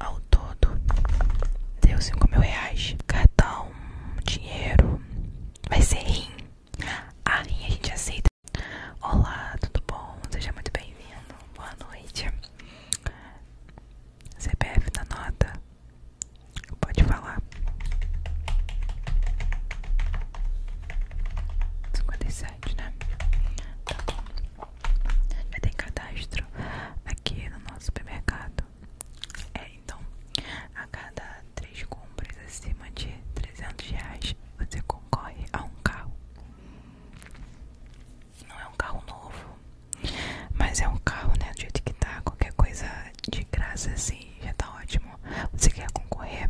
Ao todo, deu 5 mil reais. Cartão, dinheiro, vai ser rim. A rim a gente aceita. Olá, tudo bom? Seja muito bem-vindo. Boa noite. CPF da nota. Pode falar. 57, né? Tá bom. Já tem cadastro aqui no nosso supermercado. É, então, a cada três compras acima de 300 reais, você concorre a um carro. Não é um carro novo, mas é um carro, né? Do jeito que tá, qualquer coisa de graça assim, já tá ótimo. Você quer concorrer?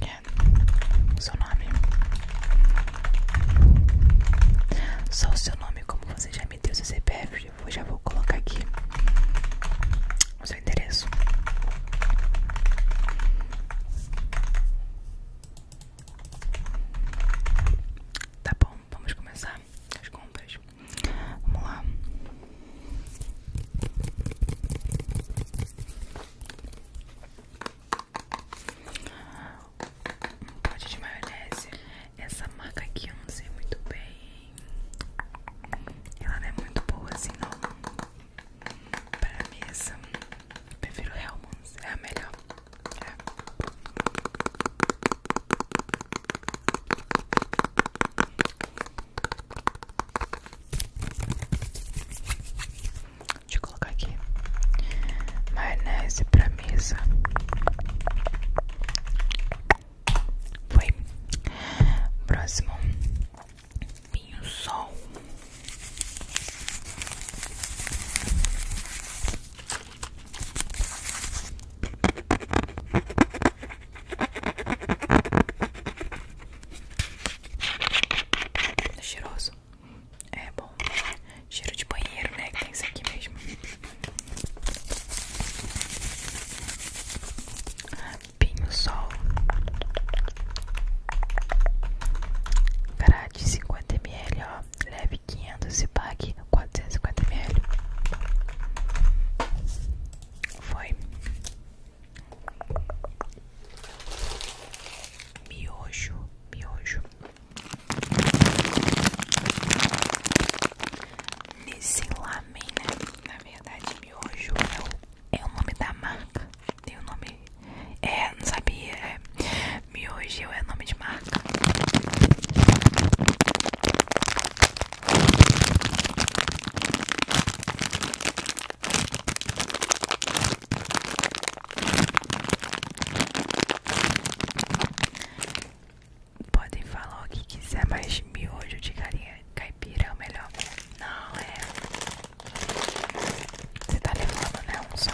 É, seu nome. Só o seu nome, como você já me deu seu CPF, eu já vou colocar aqui o seu endereço. Tá bom, vamos começar as compras. Vamos lá. Um pote de maionese. Essa marca aqui eu não sei muito bem. Ela não é muito boa assim, não. Pra mesa. Eu prefiro Hellmann's. É a melhor. É. Deixa colocar aqui. Maionese pra mesa. Foi. Próximo. Pinho sol. Cheiroso. É bom. Cheiro de banheiro, né? Que tem isso aqui mesmo. Pinho Sol. Grade cinquenta ml ó. Leve quinhentos e pague quatrocentos e cinquenta ml Foi. Miojo, miojo. Nesse lamen, né? na verdade, miojo é o, é o nome da marca. Tem o nome. É, não sabia. É. Miojo é nome de marca. Podem falar o que quiser, mas miojo de carinha caipira é o melhor. Não, é. Você tá levando, né? Um só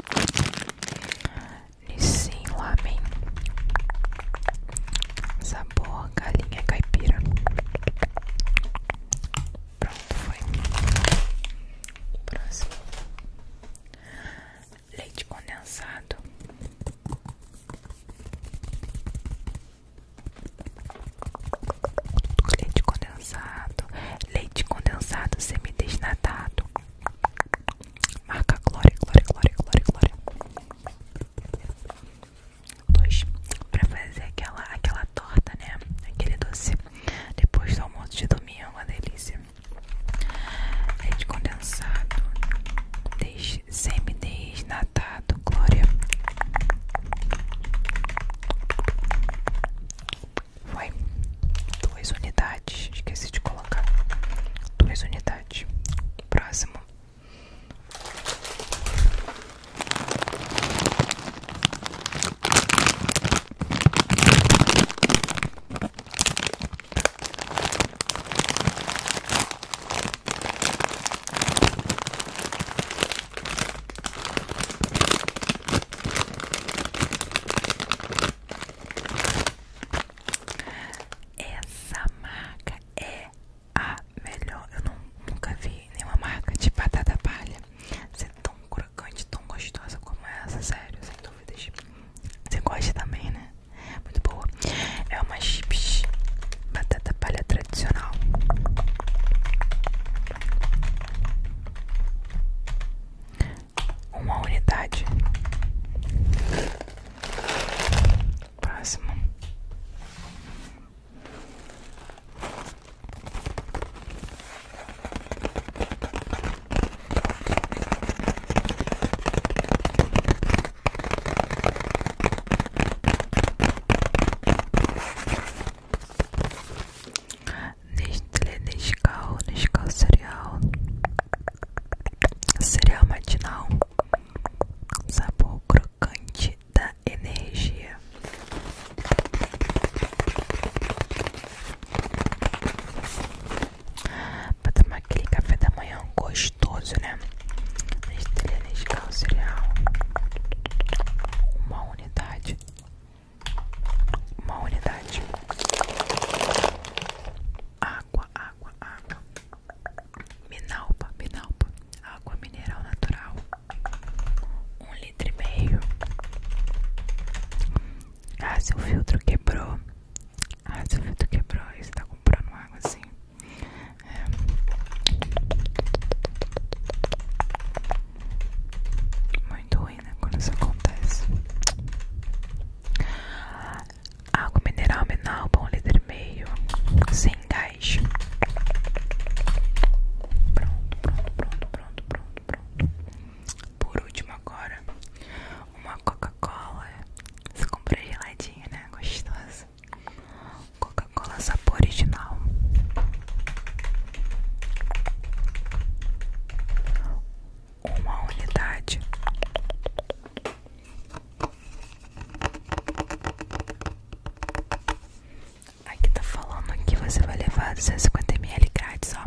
lá Lamen Sabor galinha caipira Pronto, foi Próximo Leite condensado Leite condensado leite condensado desnatado marca Glória, Glória, Glória, Glória, Glória. Dois, pra fazer aquela, aquela torta, né? Aquele doce. Depois do almoço de domingo, é uma delícia. Leite condensado, des, semidesnatado, Glória. Foi duas unidades. Esqueci de colocar. Duas unidades. Próximo. Essa marca é a melhor. Eu nunca vi nenhuma marca de batata palha ser tão crocante, tão gostosa como essa, sério, sem dúvidas. Você gosta também, né? Muito boa. É uma chips batata palha adicional, Uma unidade. Próximo. Nestlé, Nescau, cal cereal Cereal matinal Sabor crocante da energia Pra tomar aquele café da manhã gostoso, né? Nestlé, Nescau cereal Uma unidade. Uma unidade. Água, água, água. Minalpa, minalpa. Água mineral natural. Um litro e meio. Ah, seu filtro quebrou. Ah, seu filtro quebrou. Você tá comprando água assim. É. Muito ruim, né? Quando isso acontece. Água mineral mineral bom líder meio, sem gás. Pronto, pronto, pronto, pronto, pronto, pronto. Por último agora, uma Coca-Cola. Você compra geladinha, né? Gostosa. Coca-Cola sabor original. Uma unidade. Aqui tá falando que você vai levar 250ml grátis, ó.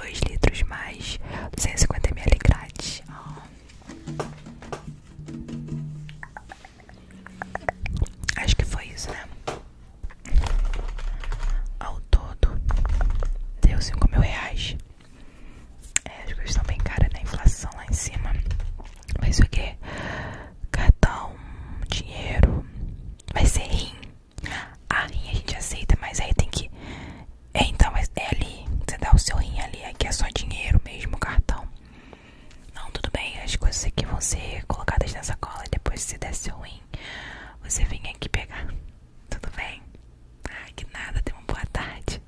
2 litros mais 250ml grátis. ó. Acho que foi isso, né? Ao todo, deu 5 mil reais. É, as coisas estão bem caras, na né? Inflação lá em cima. Mas o que? Cartão, dinheiro. Vai ser rim. A rim a gente aceita, mas aí tem que é, então, é ali. Você dá o seu rim ali. Aqui é só dinheiro mesmo, cartão. Não, tudo bem. As coisas aqui vão ser colocadas nessa cola E depois, se der seu rim, você vem aqui pegar. Tudo bem? Ah, que nada. Tenha uma boa tarde.